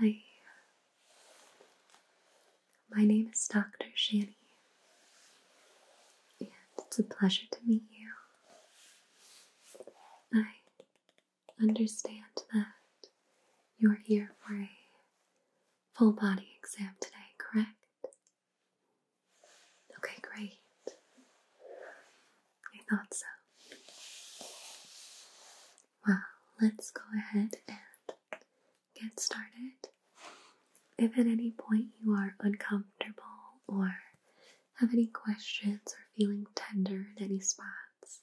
Hi, my name is Dr. Shani, and it's a pleasure to meet you. I understand that you're here for a full body exam today, correct? Okay, great. I thought so. Well, let's go ahead and get started. If at any point you are uncomfortable or have any questions or feeling tender in any spots,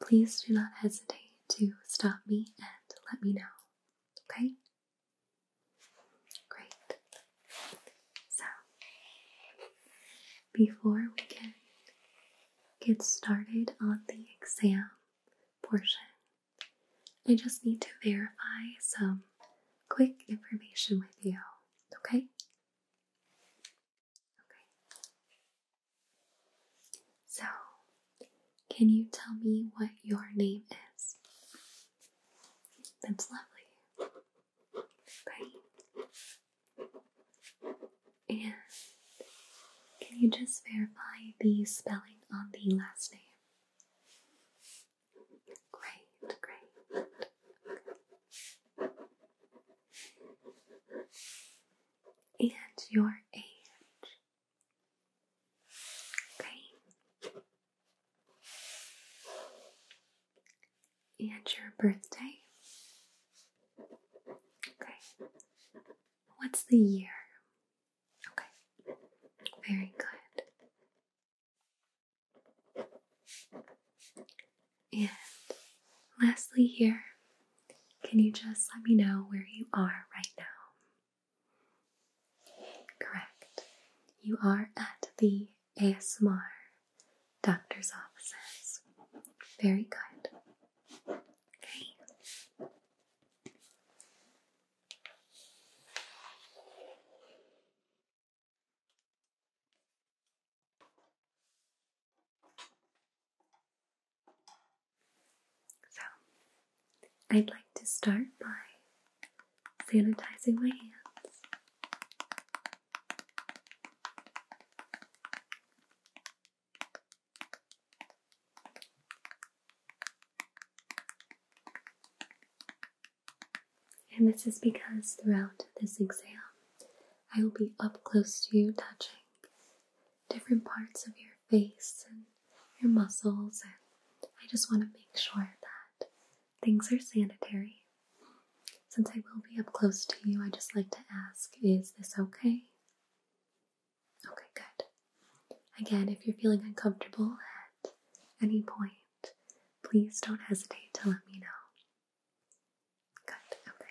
please do not hesitate to stop me and let me know. Okay? Great. So, before we can get started on the exam portion, I just need to verify some quick information with you. Okay? Okay. So, can you tell me what your name is? That's lovely. Great. And can you just verify the spelling on the last name? Great, great. And your age? Okay. And your birthday? Okay. What's the year? Okay. Very good. And lastly, here, can you just let me know where you are right now? Correct. You are at the ASMR doctor's offices. Very good. Okay. So, I'd like to start by sanitizing my hands. And this is because throughout this exam, I will be up close to you touching different parts of your face and your muscles, and I just want to make sure that things are sanitary. Since I will be up close to you, I just like to ask is this okay? Okay, good. Again, if you're feeling uncomfortable at any point, please don't hesitate to let me know. Good, okay.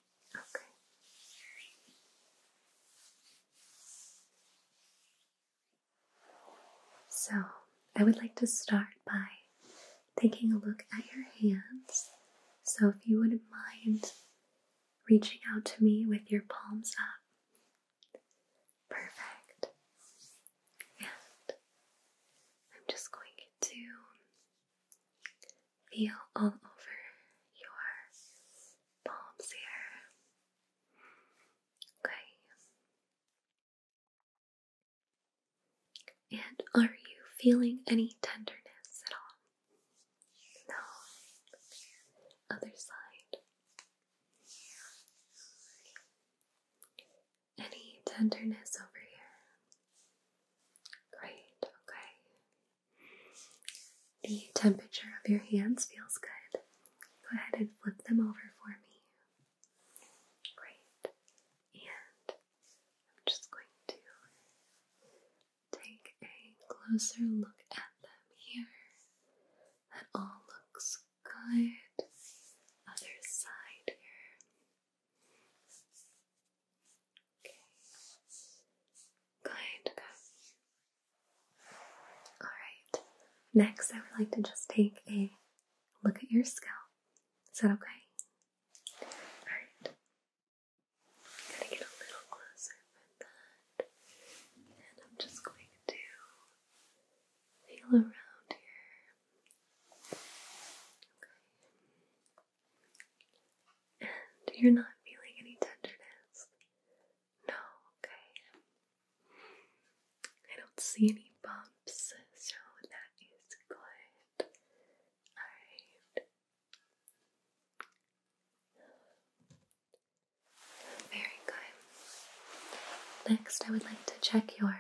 Okay. So, I would like to start by taking a look at your hands. So, if you wouldn't mind reaching out to me with your palms up. Perfect. And I'm just going to Feel all over your palms here. Okay. And are you feeling any tenderness at all? No. Other side. Any tenderness over here? Great, okay. The temperature of your hands feels good. Go ahead and flip them over for me. Great. And I'm just going to take a closer look at them here. That all looks good. Other side here. Good, Alright. Next, I would like to just take a look at your scalp. Is that okay? Alright. i to get a little closer with that. And I'm just going to feel around here. And you're not feeling any tenderness? No, okay. I don't see any bumps, so that is good. Alright. Very good. Next, I would like to check your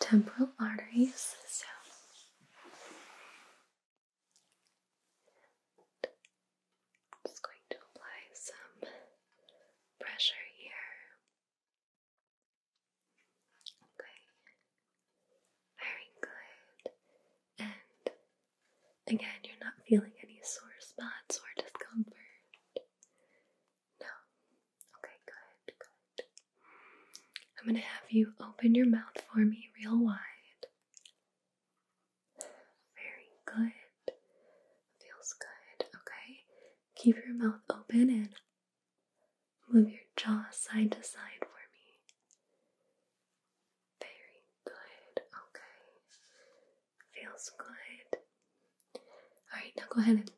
temporal arteries. So, I'm just going to apply some pressure here. Okay, very good. And again, you're not feeling any sore spots or discomfort. No. Okay, good, good. I'm going to have you open your mouth for me real wide. Very good. Feels good. Okay. Keep your mouth open and move your jaw side to side for me. Very good. Okay. Feels good. Alright, now go ahead and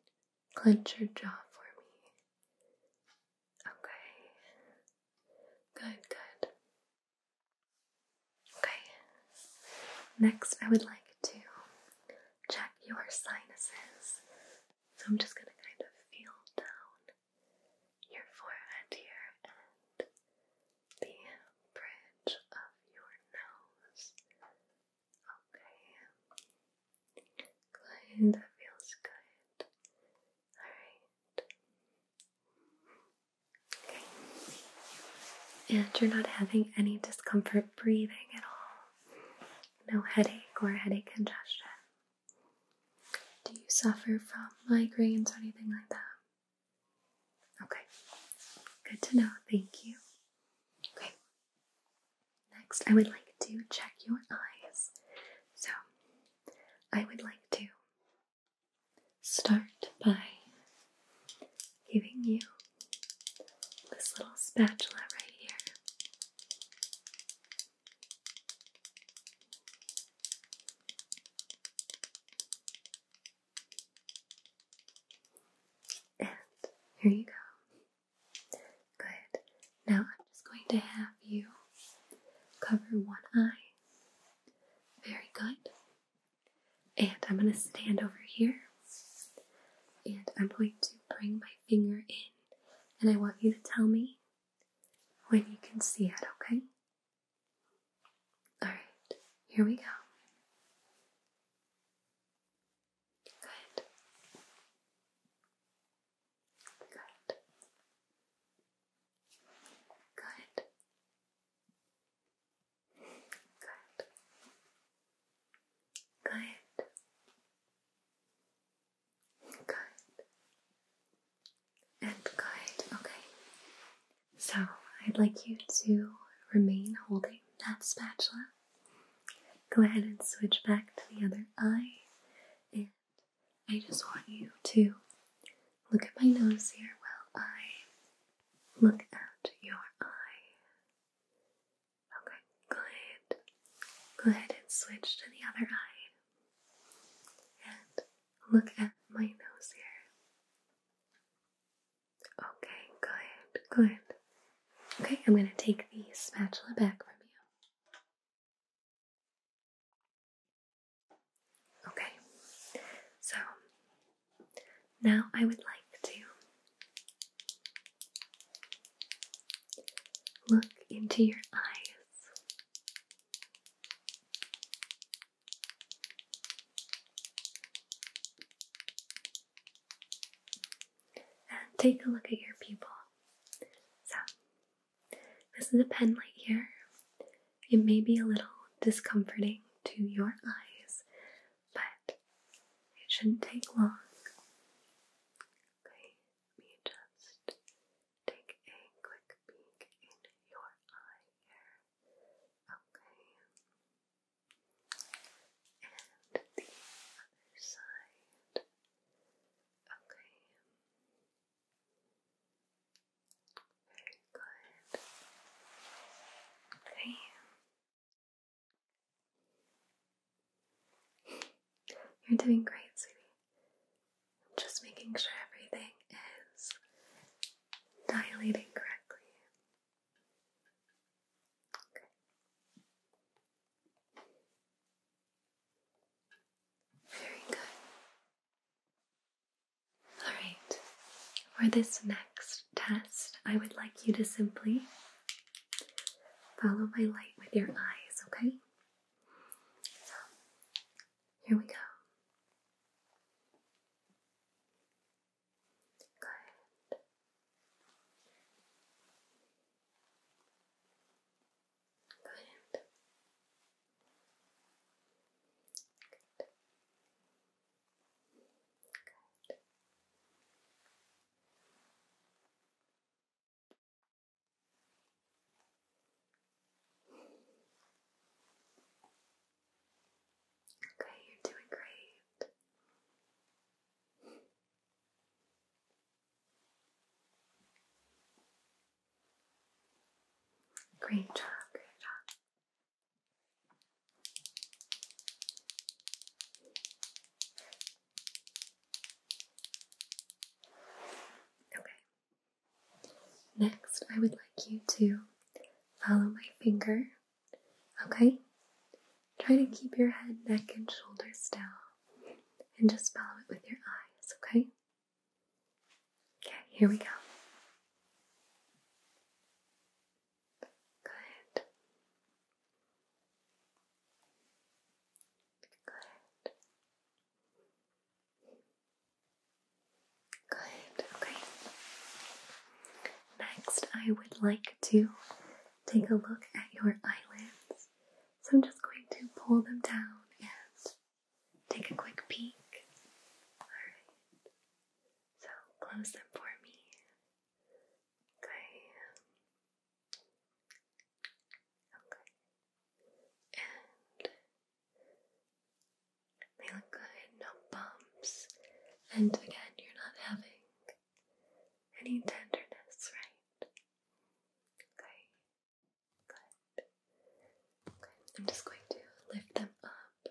clench your jaw for me. Okay. Good, good. Okay. Next, I would like to check your sinuses. So I'm just going to kind of feel down your forehead here and the bridge of your nose. Okay. Good, that feels good. Alright. Okay. And you're not having any discomfort breathing at all. No headache or headache congestion. Do you suffer from migraines or anything like that? Okay. Good to know. Thank you. Okay. Next, I would like to check your eyes. So, I would like to start by giving you this little spatula right here. And here you go. Good. Now I'm just going to have you cover one eye very good. And I'm going to stand over here. And I'm going to bring my finger in. And I want you to tell me when you can see it, okay? Alright, here we go. Good. Good. Good. Good. Good. Good. And good. Okay. So I'd like you to remain holding that spatula. Go ahead and switch back to the other eye and I just want you to look at my nose here while I look at your eye. Okay, good. Go ahead and switch to the other eye. And look at my nose here. Okay, good, good. Okay, I'm going to take the spatula back from you. Okay, so now I would like to look into your eyes. And take a look at your pupil. This is a pen light here. It may be a little discomforting to your eyes, but it shouldn't take long. Okay, let me just take a quick peek in your eye here. Okay. And the other side. Okay. Very good. Okay. You're doing great, sweetie. I'm just making sure everything is dilating correctly. Okay. Very good. Alright, for this next test, I would like you to simply follow my light with your eyes, okay? So, here we go. Good. Good. Good. Okay, you're doing great. Great job, great job. Okay. Next, I would like you to follow my finger. Okay? Try to keep your head, neck, and shoulders down and just follow it with your eyes, okay? Okay, here we go. Good. Good. Good, okay. Next, I would like to take a look at your eyelids. So I'm just going to pull them down and Take a quick peek. Alright. So close them for me. Okay. Okay. And they look good, no bumps. And again, you're not having any tenderness, right? Okay. Good. I'm just going to lift them up.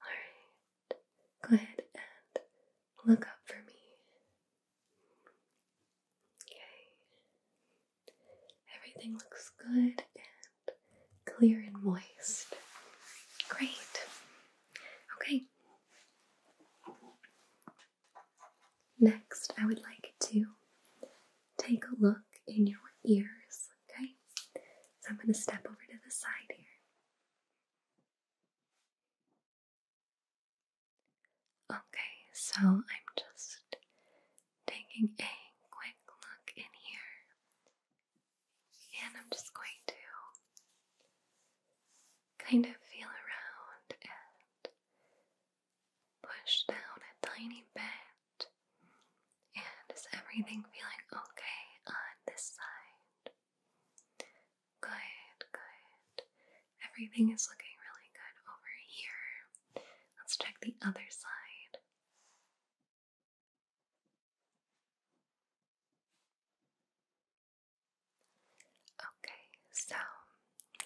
Alright, go ahead and look up for me. Okay, everything looks good and clear and moist. Great. Okay. Next, I would like to take a look in your ears, okay? So I'm going to step over to the side here. Okay, so I'm just taking a quick look in here, and I'm just going to kind of feel around and push down a tiny bit and is everything feeling okay on this side? Good, good. Everything is looking really good over here. Let's check the other side. Okay, so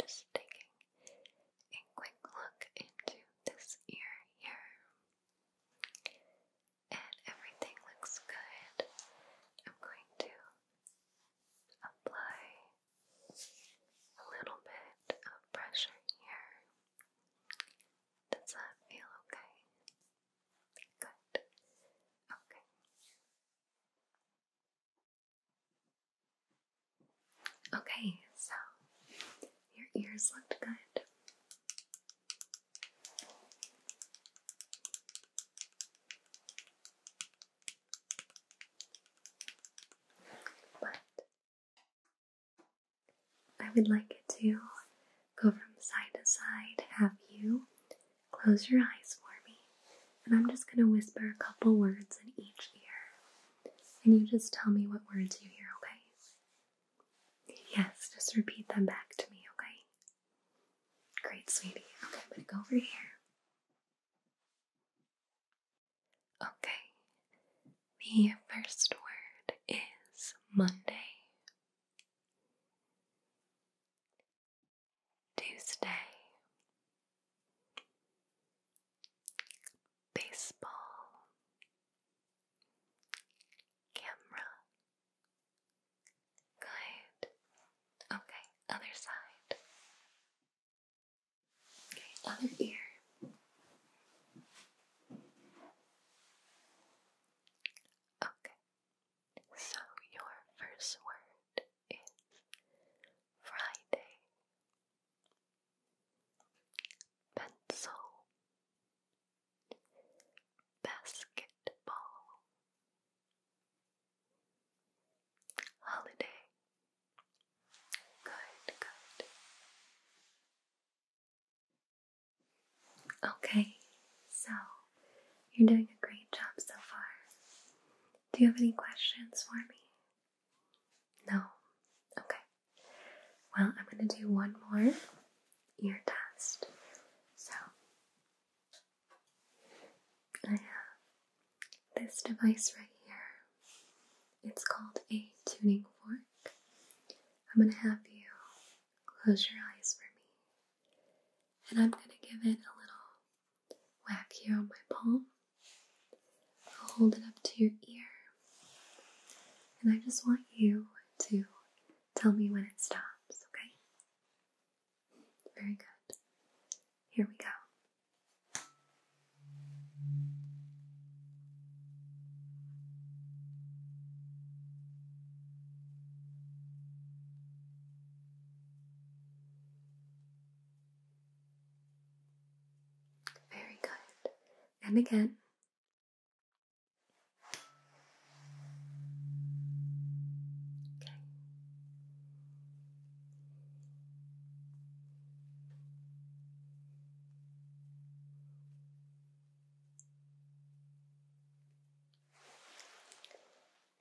just taking a quick look into this ear here and everything looks good, I'm going to apply a little bit of pressure here. Does that feel okay? Good. Okay. Okay, so your ears looked good. But I would like it to go from side to side, have you close your eyes for me, and I'm just going to whisper a couple words in each ear. And you just tell me what words you hear, okay? Yes, just repeat them back to me, okay? Great, sweetie. Okay, I'm gonna go over here. Okay, the first word is Monday, Tuesday, baseball, Camera. Good. Okay, other side. Okay, other ear. Okay, so your first word is Friday. Pencil. Basketball. Holiday. Good, good. Okay, so you're doing a great job so far. Do you have any questions for me? No? Okay. Well, I'm going to do one more ear test. So, I have this device right here. It's called a tuning fork. I'm going to have you close your eyes for me. And I'm going to give it a little whack here on my palm. I'll hold it up to your ear. And I just want you to Tell me when it stops, okay? Very good. Here we go. Very good. And again,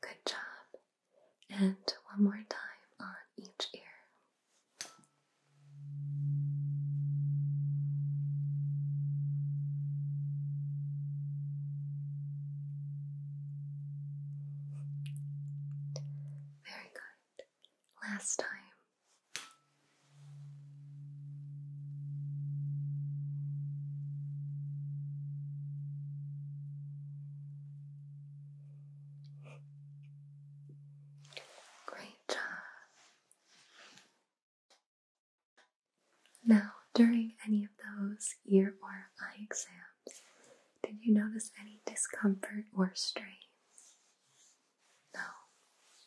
Good job. And one more time on each ear. Very good. Last time. Great job. Now, during any of those ear or eye exams, did you notice any discomfort or strain? No.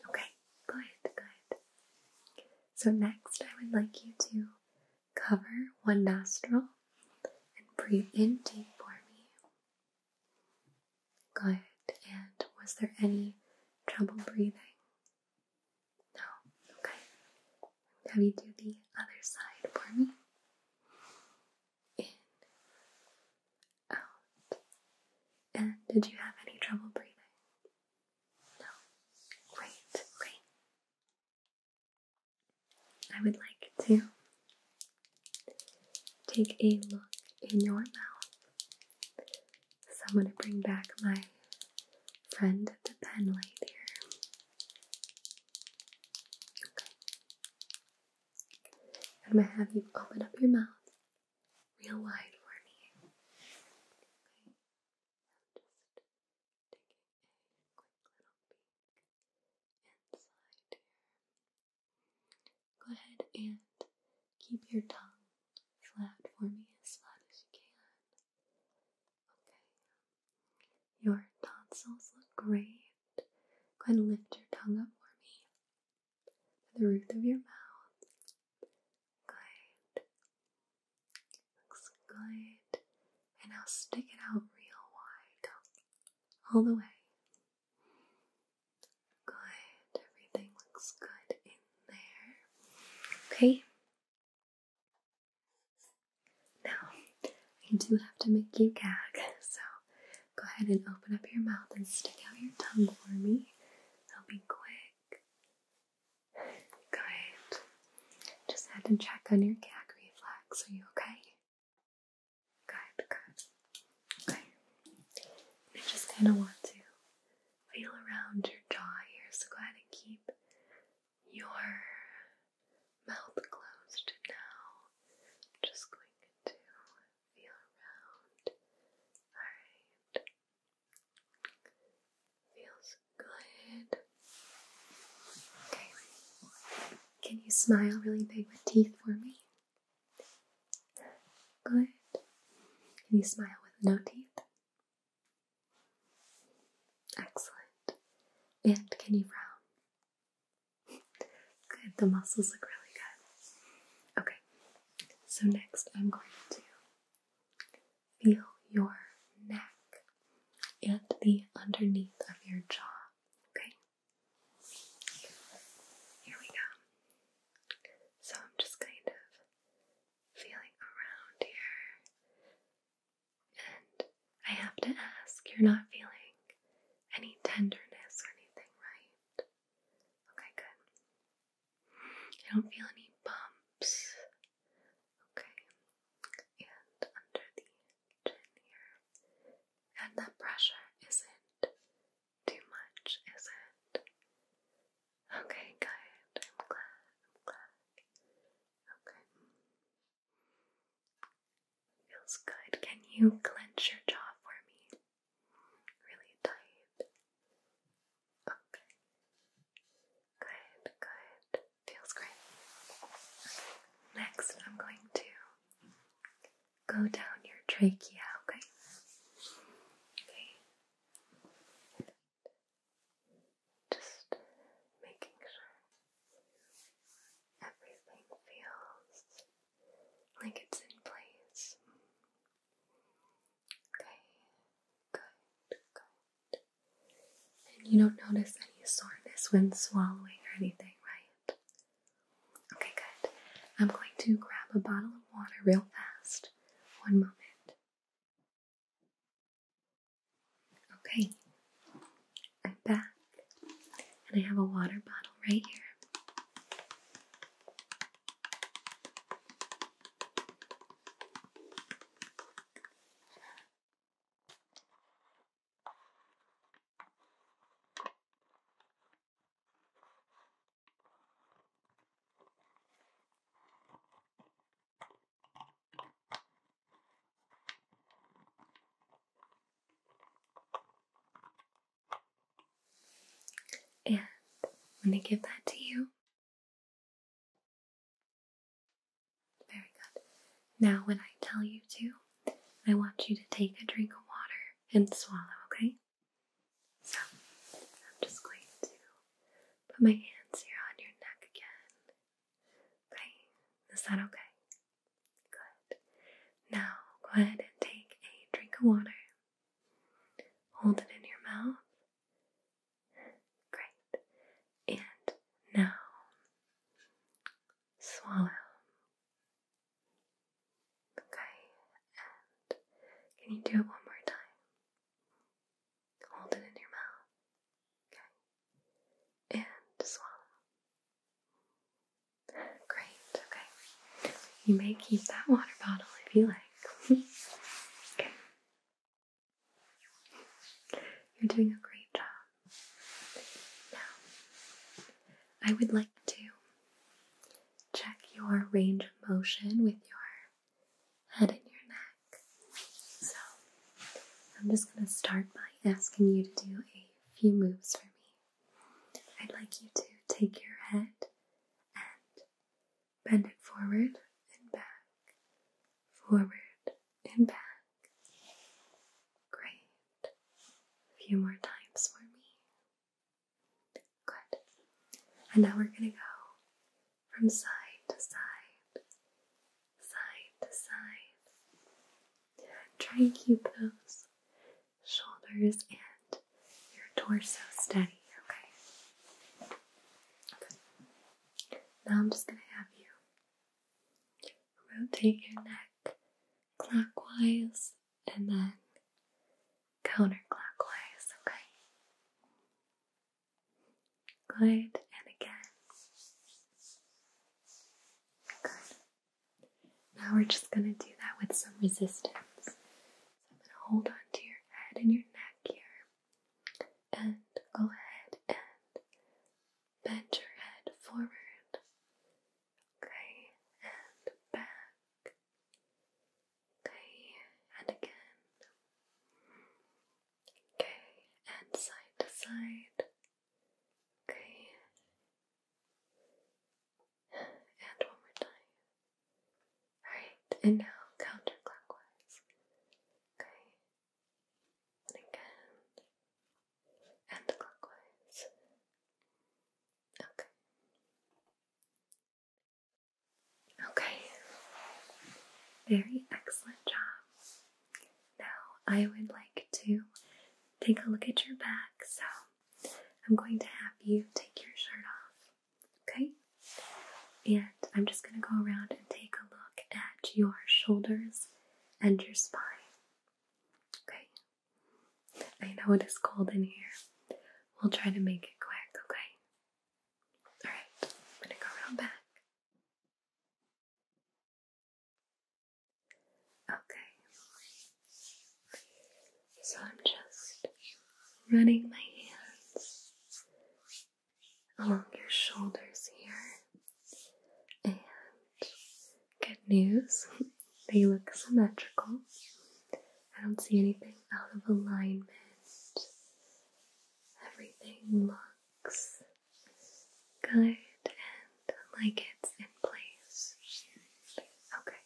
Okay, good, good. So, next, I would like you to cover one nostril and breathe in deep for me. Good. And was there any trouble breathing? No, okay. Have you do the other side for me? In, out. And did you have any trouble breathing? No. Great, great. I would like to take a look in your mouth so I'm going to bring back my friend the pen light here. I'm going to have you open up your mouth real wide for me. Go ahead and Keep your tongue flat for me, as flat as you can. Okay. Your tonsils look great. Go and lift your tongue up for me. To the roof of your mouth. Good. Looks good. And now stick it out real wide. all the way. Good. Everything looks good in there. Okay? Now, I do have to make you gag, so go ahead and open up your mouth and stick out your tongue for me. It'll be quick. Good. Just had to check on your gag reflex. Are you okay? Good, good. Okay. I just kind of want to feel around your jaw here. So go ahead and keep your mouth closed now. just going to feel around. Alright. Feels good. Okay. Can you smile really big with teeth for me? Good. Can you smile with no teeth? Excellent. And can you frown? Good, the muscles look really good. Okay, so next I'm going to feel your neck and the underneath of your jaw. Okay? Here we go. So I'm just kind of feeling around here. And I have to ask, you're not feeling any tenderness or anything, right? Okay, good. You don't feel any bumps. Okay. And under the chin here. And the pressure isn't too much, is it? Okay, good. I'm glad. I'm glad. Okay. Feels good. Can you clench your jaw for me? Really tight. Okay. Good, good. Feels great. Next, I'm going to go down your trachea, okay? Okay. Just making sure everything feels like it's in place. Okay, good, good. And you don't notice any soreness when swallowing or anything, right? Okay, good. I'm going to grab a bottle of water real fast. One moment. Okay, I'm back, and I have a water bottle right here. And I'm going to give that to you. Very good. Now, when I tell you to, I want you to take a drink of water and swallow, okay? So, I'm just going to Put my hands here on your neck again. Okay, is that okay? Good. Now go ahead and take a drink of water. Hold it in your mouth. Great. And now swallow. Okay, can you do it one more time? Hold it in your mouth. Okay. And swallow. Great. Okay. You may keep that water bottle if you like. okay. You're doing a great job. Now, I would like to check your range of motion with your head in your neck. So, I'm just going to start by asking you to do a few moves for me. I'd like you to take your head and bend it forward and back, forward and back. Great. A few more times for me. Good. And now we're going to go from side to side, side to side. Try and keep those shoulders and your torso steady, okay? Now I'm just going to have you rotate your neck clockwise and then counterclockwise, okay? Good, and again. Good. Now we're just going to do that with some resistance. So I'm going to hold on to your head and your neck here. And go ahead and bend your head forward. Okay, and back. Okay, and again. Okay, and side to side. Okay. And one more time. Alright, and now counterclockwise. Okay. And again. And clockwise. Okay. Okay. Very excellent job. Now I would like to take a look at your back, so I'm going to have you take your shirt off. Okay? And I'm just going to go around and take a look at your shoulders and your spine. Okay? I know it is cold in here. We'll try to make it quick, okay? Alright, I'm going to go around back. Okay, so I'm just running my hands along your shoulders here, and good news, they look symmetrical. I don't see anything out of alignment. Everything looks good and like it's in place. Okay,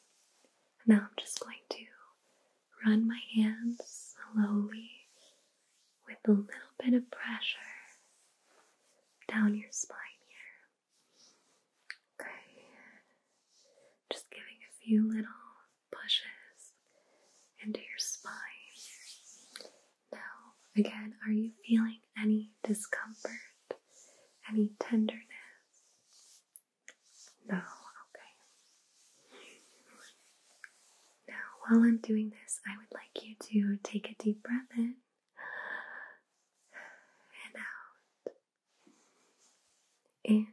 now I'm just going to run my hands slowly with a little bit of pressure down your spine here. Okay, just giving a few little pushes into your spine. Now, again, are you feeling any discomfort? Any tenderness? No, okay. Now, while I'm doing this, I would like you to take a deep breath in and out. In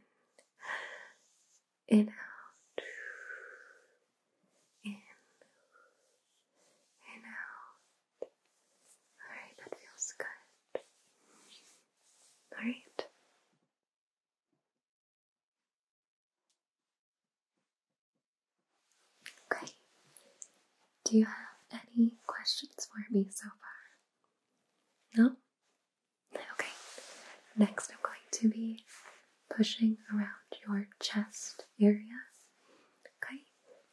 and out, Alright, that feels good. Alright. Okay. Do you have any questions for me so far? No? Okay. Next, I'm going to be pushing around your chest area. Okay?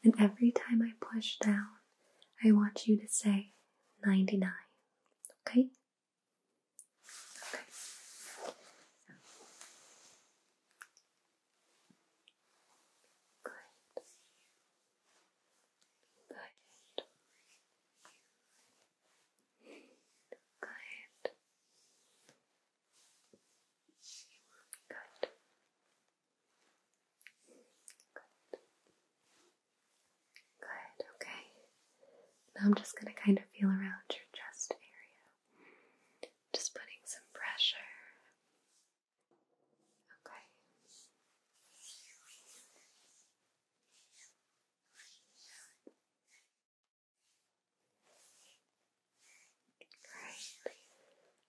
And every time I push down, I want you to say 99. Okay? Okay. Good. Good. Good. Good. Good. Good, okay. Now I'm just going to kind of feel around your chest area. Just putting some pressure. Okay.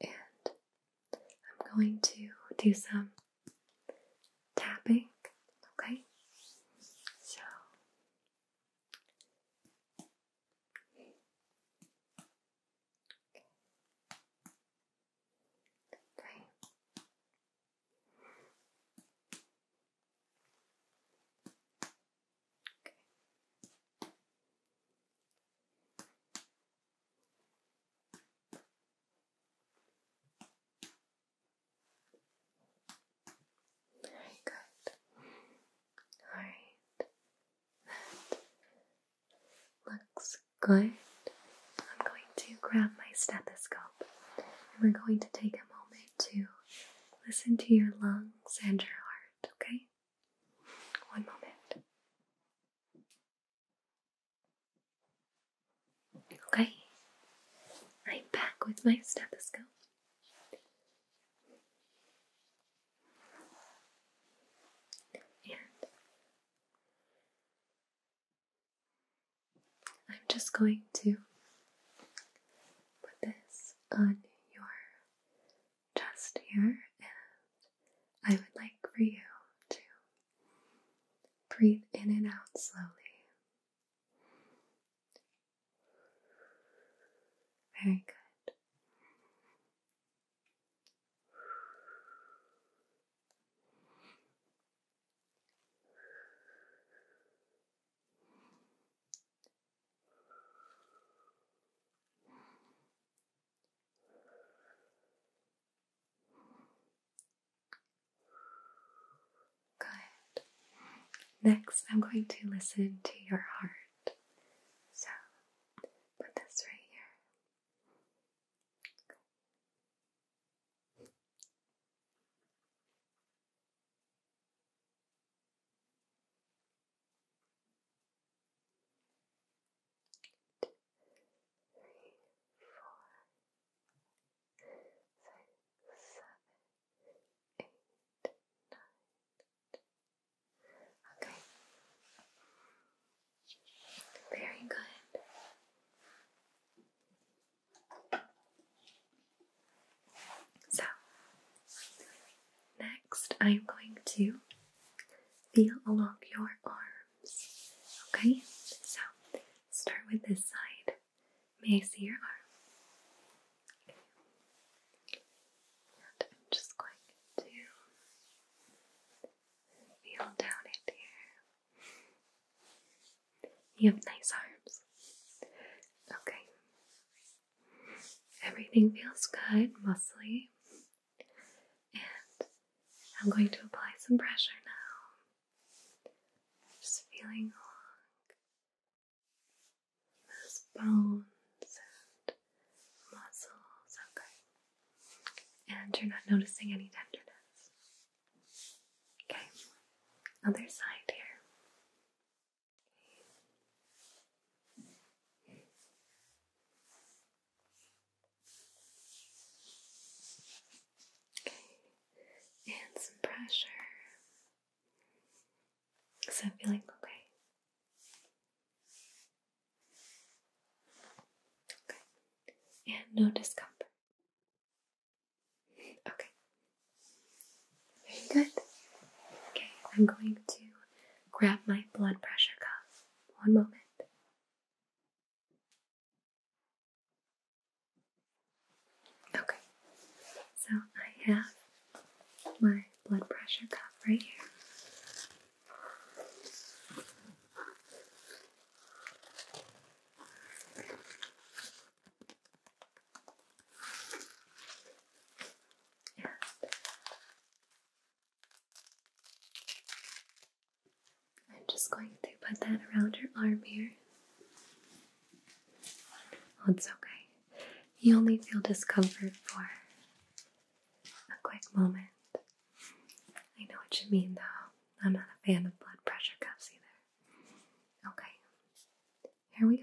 And I'm going to do some tapping, okay? So Okay. Very good. Alright. That looks good. I'm going to grab my stethoscope and we're going to take a moment to listen to your lungs and your heart, okay? One moment. Okay, I'm back with my stethoscope. And I'm just going to put this on your chest here, and I would like for you to breathe in and out slowly. Very good. Good. Next, I'm going to listen to your heart. So, put this right here. Eight, three, four, six, seven, eight, nine. Okay. Very good. So, next I'm going to feel along your arms. Okay, so start with this side. May I see your arm? I'm just going to feel down it here. You have nice arms. Okay, Everything feels good, mostly. And I'm going to apply some pressure now. Just feeling along those bones and muscles. Okay. And you're not noticing any tenderness. Okay. Other side here. And some pressure. Is that feeling okay? Okay. And no discomfort. Okay. Very good. Okay, I'm going to grab my blood pressure cuff. One moment. Okay, so I have my blood pressure cuff right here. And I'm just going to put that around your arm here. Oh, it's okay. You only feel discomfort for a quick moment. I know what you mean though. I'm not a fan of blood pressure cuffs either. Okay, here we go.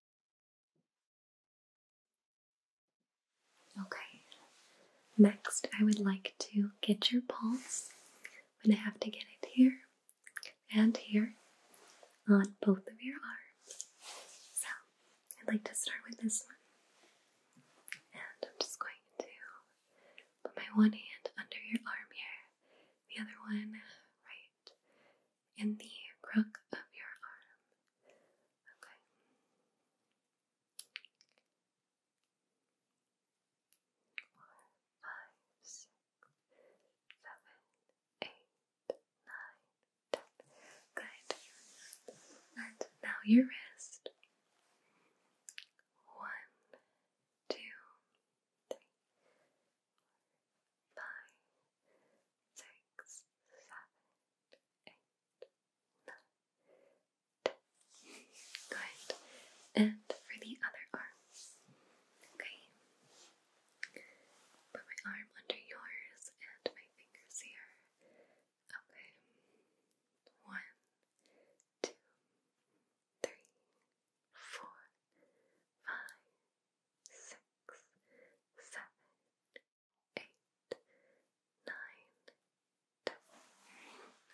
Okay, next I would like to get your pulse. I'm going to have to get it here and here on both of your arms. So I'd like to start with this one. And I'm just going to put my one hand under your arm here, the other one right in the crook of your arm. Okay. Four, five, six, seven, eight, nine, ten. Good. And now your wrist. One, two, three, five, six, seven, eight, nine, ten. Good. And for the other arm. Okay. Put my arm under yours and my fingers here. Okay. One, two, three, four, five, six,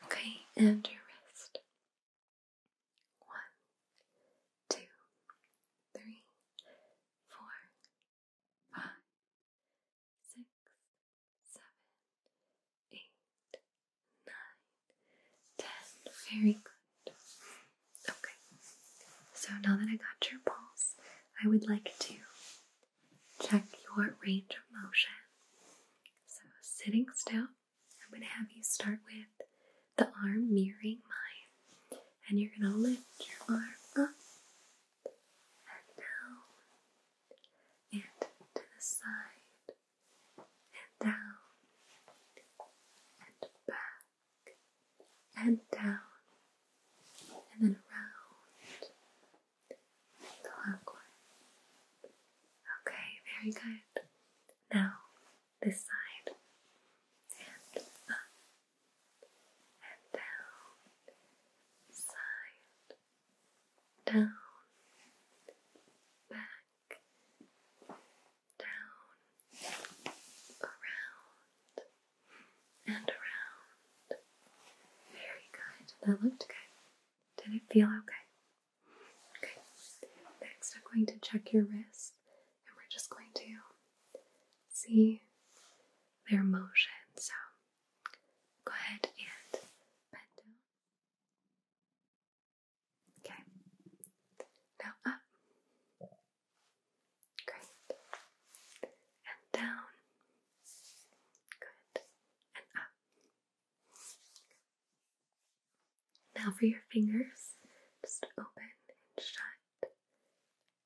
Okay, and your wrist. One, two, three, four, five, six, seven, eight, nine, ten. Very good. Okay. So now that I got your pulse, I would like to check your range of motion. So, sitting still, I'm going to have you start with the arm mirroring mine, and you're going to lift your arm up and down, and to the side, and down, and back, and down and then around clockwise. Okay, very good. Now this side and up and down, side, down, back, down, around, and around. Very good. That looked good. Did it feel okay? Okay. Next, I'm going to check your wrist, and we're just going to see their motion. So go ahead and bend down. Okay. Now up. Great. And down. Good. And up. Now for your fingers, just open and shut,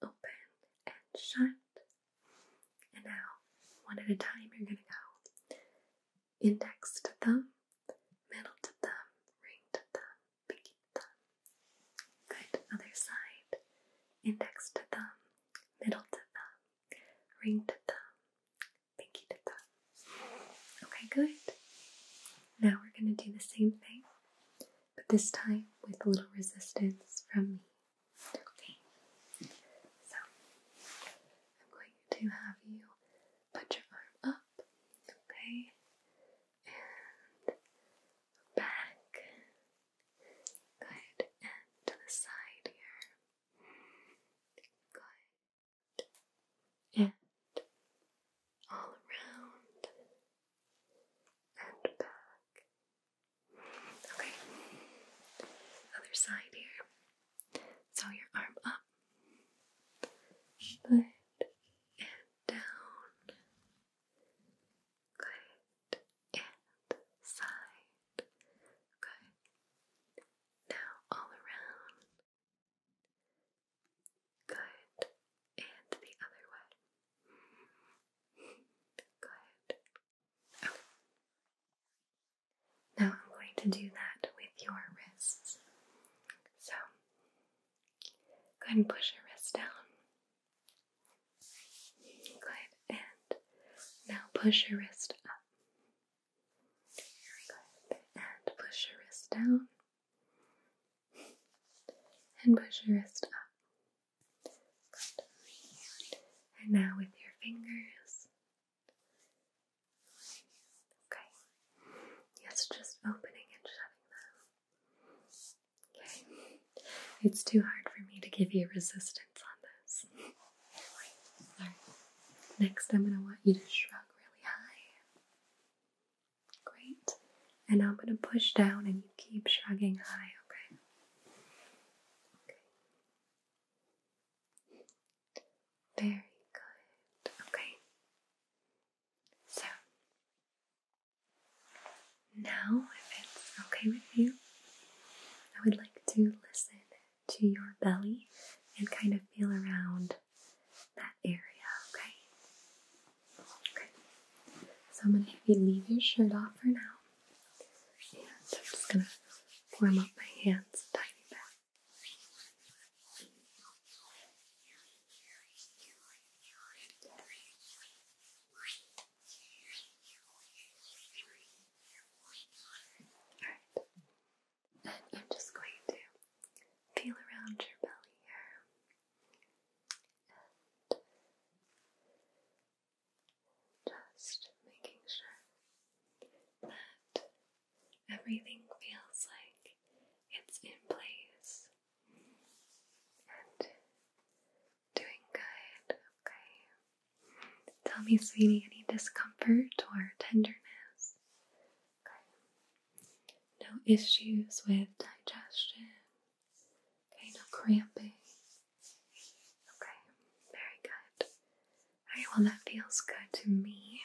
open and shut. And now, one at a time, you're going to go index to thumb, middle to thumb, ring to thumb, pinky thumb. Good, other side. Index to thumb, middle to thumb, ring to thumb, pinky to thumb. Okay, good. Now we're going to do the same thing, but this time with a little resistance from me. Okay, so I'm going to have you put your arm up, okay, and back. Good, and to the side here. Good, and all around and back. Okay, other side here. So your arm up, good, and down. Good. And side. Good. Now all around. Good. And the other way. Good. Now I'm going to do that with your wrists. So, go ahead and push your wrists down. Good. And now push your wrist up. Good. And push your wrist down. And push your wrist up. And now with your fingers. Okay. Yes, just opening and shutting them. Okay. It's too hard for me to give you resistance on this. Next, I'm going to want you to shrug really high. Great. And I'm going to push down and you keep shrugging high, okay? Okay. Very good. Okay. So, now, if it's okay with you, I would like to listen to your belly and kind of feel around that area, okay? Okay. So I'm gonna have you leave your shirt off for now. And I'm just gonna warm up my hands a tiny Alright. I'm just going to feel around your belly here. And just making sure that everything feels like it's in place doing good. Okay. Tell me, sweetie, any discomfort or tenderness? Okay. No issues with digestion. Okay, no cramping. Okay, very good. Alright, well, that feels good to me.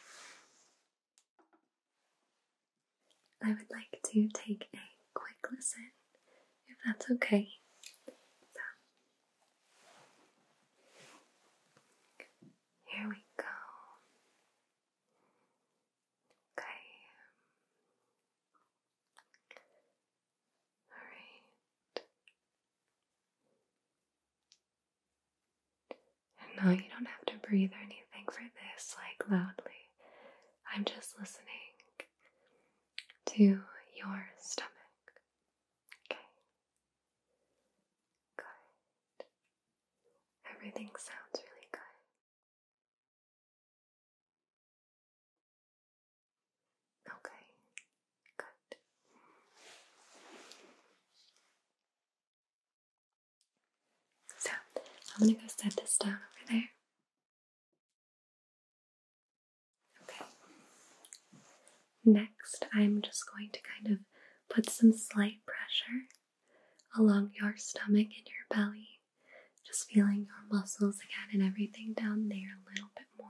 I would like to take a quick listen, if that's okay. So, here we go. Okay. Alright. And now you don't have to breathe or anything for this, like loudly. I'm just listening to your stomach. Okay. Good. Everything sounds really good. Okay, good. So, I'm going to go set this down over there. Okay. Next, I'm just going to kind of put some slight pressure along your stomach and your belly, just feeling your muscles again and everything down there a little bit more.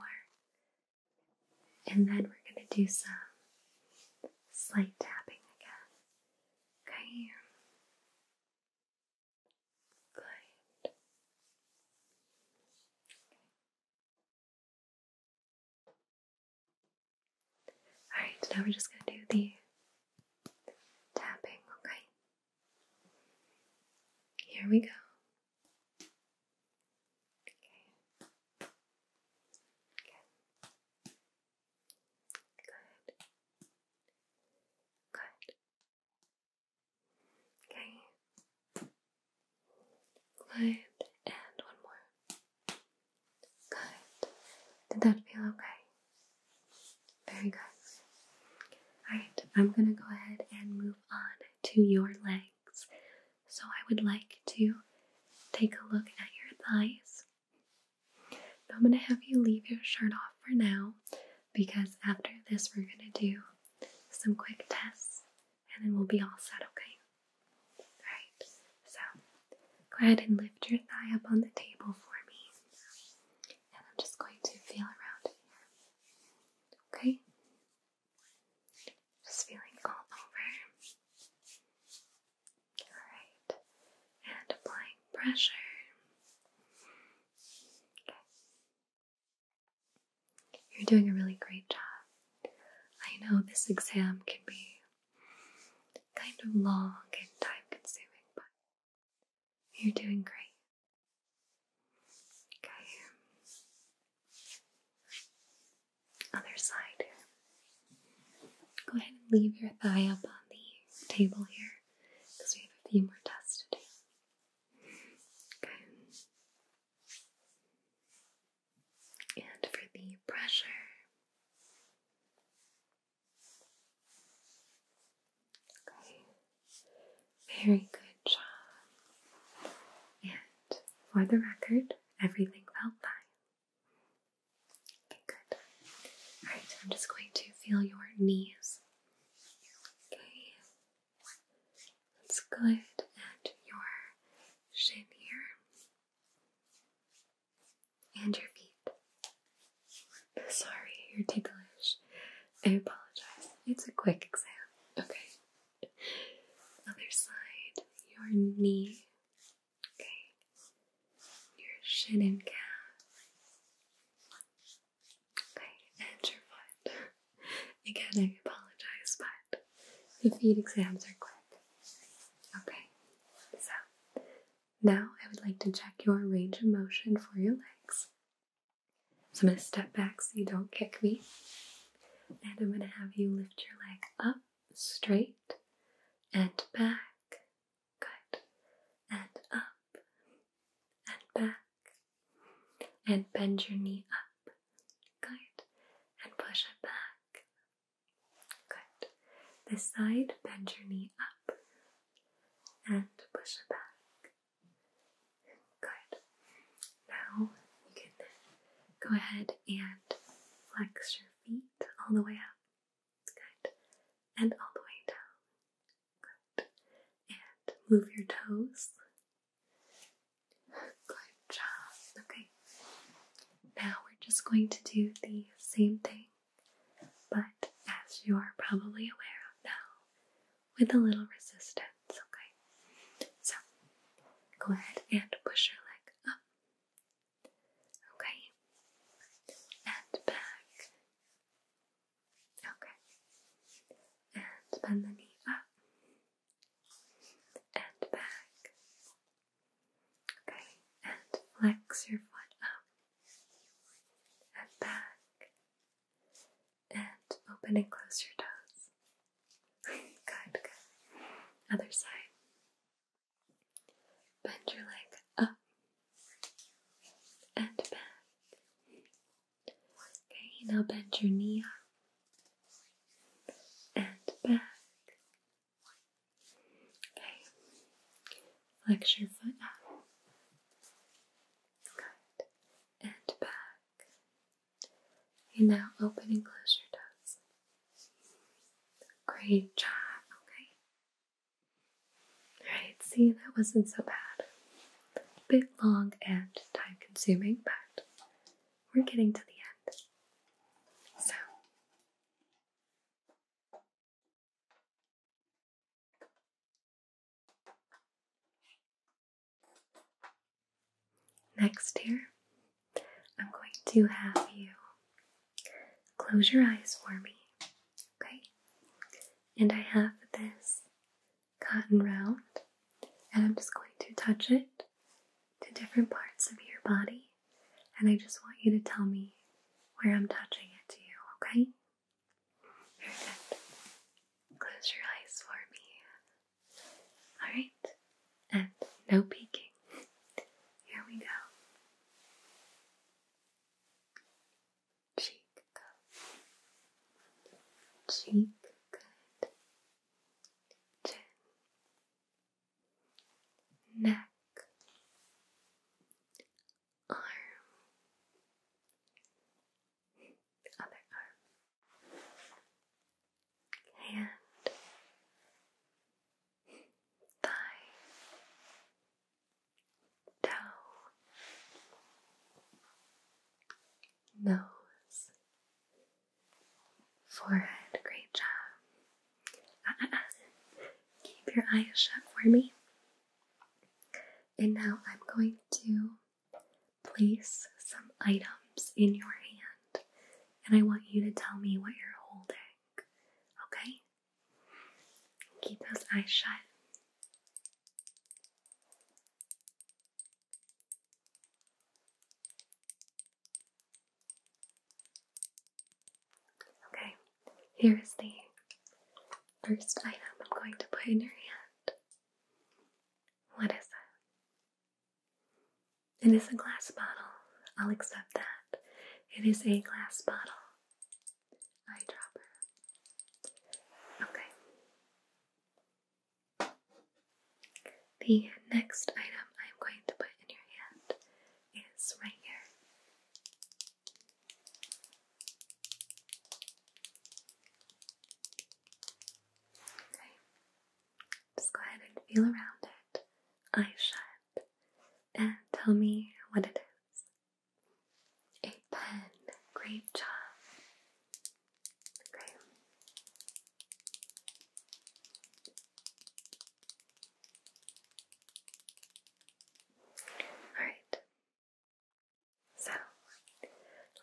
And then we're going to do some slight tapping again. Okay. Good. Okay. now we're just gonna do the tapping, okay? Here we go. Okay. Good. Good. Good. And one more. Good. Did that feel okay? Very good. Alright, I'm gonna go ahead and move on to your legs. So I would like to take a look at your thighs. I'm gonna have you leave your shirt off for now because after this, we're going to do some quick tests and then we'll be all set, okay? Alright, so go ahead and lift your thigh up on the table for me, and I'm just going to feel around here, okay? Just feeling all over. Alright, and applying pressure. Okay. You're doing a really great job. I know this exam can be kind of long and time consuming, but you're doing great. Okay. Other side Go ahead and leave your thigh up on the table here because we have a few more tests to do. Okay. And for the pressure, okay, very good job. And for the record, everything felt fine. good. Alright, I'm just going to feel your knees. Okay, Let's go ahead at your shin here and your feet. Sorry, you're ticklish. I apologize. It's a quick exam. Okay. Other side, your knee. Okay. Your shin and calf. Okay, and your foot. Again, I apologize, but the feet exams are quick. Okay, so now I would like to check your range of motion for your legs. So I'm going to step back so you don't kick me. And I'm going to have you lift your leg up, straight, and back. Good. And up, and back and bend your knee up. Good. And push it back. Good. This side, bend your knee up and push it back. Good. Now you can go ahead and flex your feet all the way up. Good. And all the way down. And move your toes. Good job. Okay. Now we're just going to do the same thing, but as you are probably aware of now, with a little resistance. Okay. So go ahead and push your leg up. Okay. And back. Okay. And bend the knee up and back. Okay. And flex your foot up and back. And open and close your toes. good, good. Other side. Bend your leg up and back. Okay, now bend your knee up and back. Okay, flex your foot up. Good. And back. And now open and close your toes. Great job. Okay. Alright, see, that wasn't so bad bit long and time consuming, but we're getting to the end. So, next here, I'm going to have you close your eyes for me, okay? And I have this cotton round, and I'm just going to touch it to different parts of your body, and I just want you to tell me where I'm touching it to you, okay? Very good. Close your eyes for me. Alright, and no peeking. Here we go cheek go. Cheek good. Chin. Neck. Arm. Other arm. Hand. Thigh. Toe nose, forehead. Great job. Ah, ah, ah. Keep your eyes shut for me. And now I'm going to place some items in your hand, and I want you to tell me what you're holding. Okay? Keep those eyes shut. Okay, here is the first item I'm going to put in your hand. What is it? It is a glass bottle. I'll accept that. It is a glass bottle. Eyedropper. Okay. The next item I'm going to put in your hand is right here. Okay, just go ahead and feel around it, eyes shut, and tell me what it is. A pen, great job. Alright. So,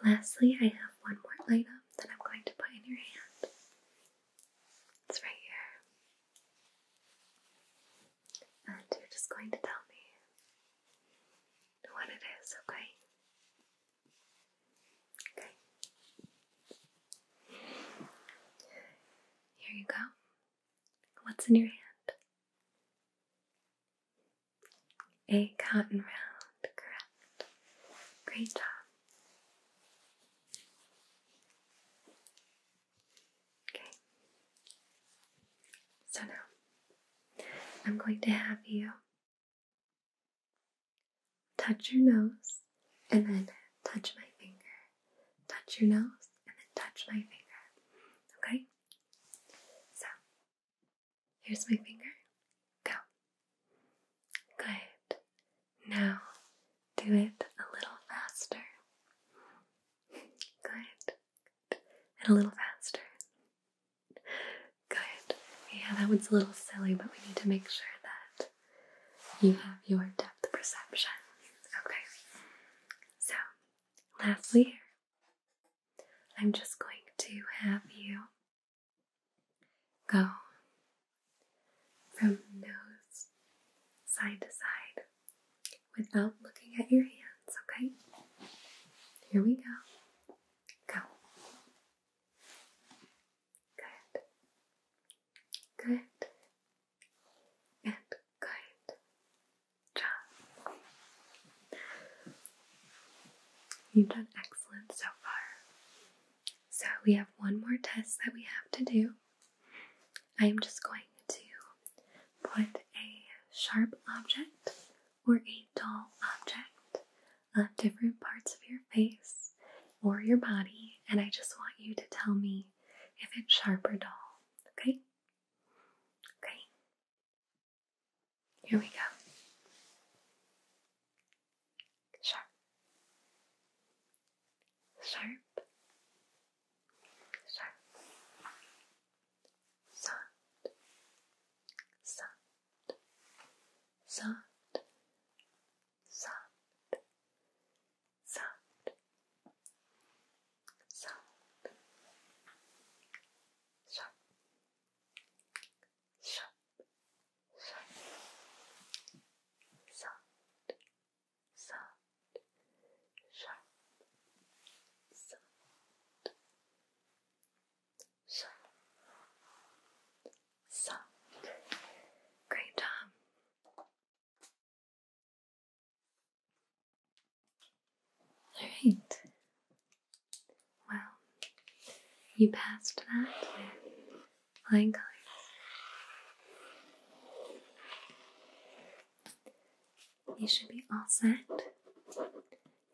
lastly, I have one more item that I'm going to put in your hand. It's right here. And you're just going to tell me what it is, okay? Okay. Here you go. What's in your hand? A cotton round, correct. Great job. Okay. So now I'm going to have you Touch your nose and then touch my finger. Touch your nose and then touch my finger. Okay? So, here's my finger. Go. Good. Now, do it a little faster. Good. And a little faster. Good. Yeah, that one's a little silly, but we need to make sure that you have your depth perception. Okay. So, lastly, I'm just going to have you go from nose side to side without looking at your hands, okay? Here we go. Go. Good. Good. And good. Job. You've done excellent so far. So we have one more test that we have to do. I am just going to put a sharp object or a dull object uh, different parts of your face or your body, and I just want you to tell me if it's sharp or dull. Okay? Okay. Here we go. Sharp. Sharp. Sharp. Soft. Soft soft, soft, soft, soft, sharp, sharp, sharp, soft, soft, sharp, soft. Soft, so, Sun. Great job. Alright. Well, you passed that with flying colors. You should be all set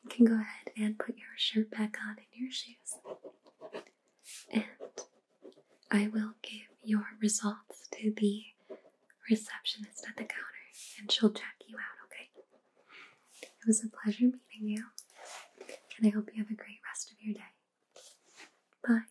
you can go ahead and put your shirt back on and your shoes. And I will give your results to the receptionist at the counter and she'll check you out, okay? It was a pleasure meeting you, and I hope you have a great rest of your day. Bye.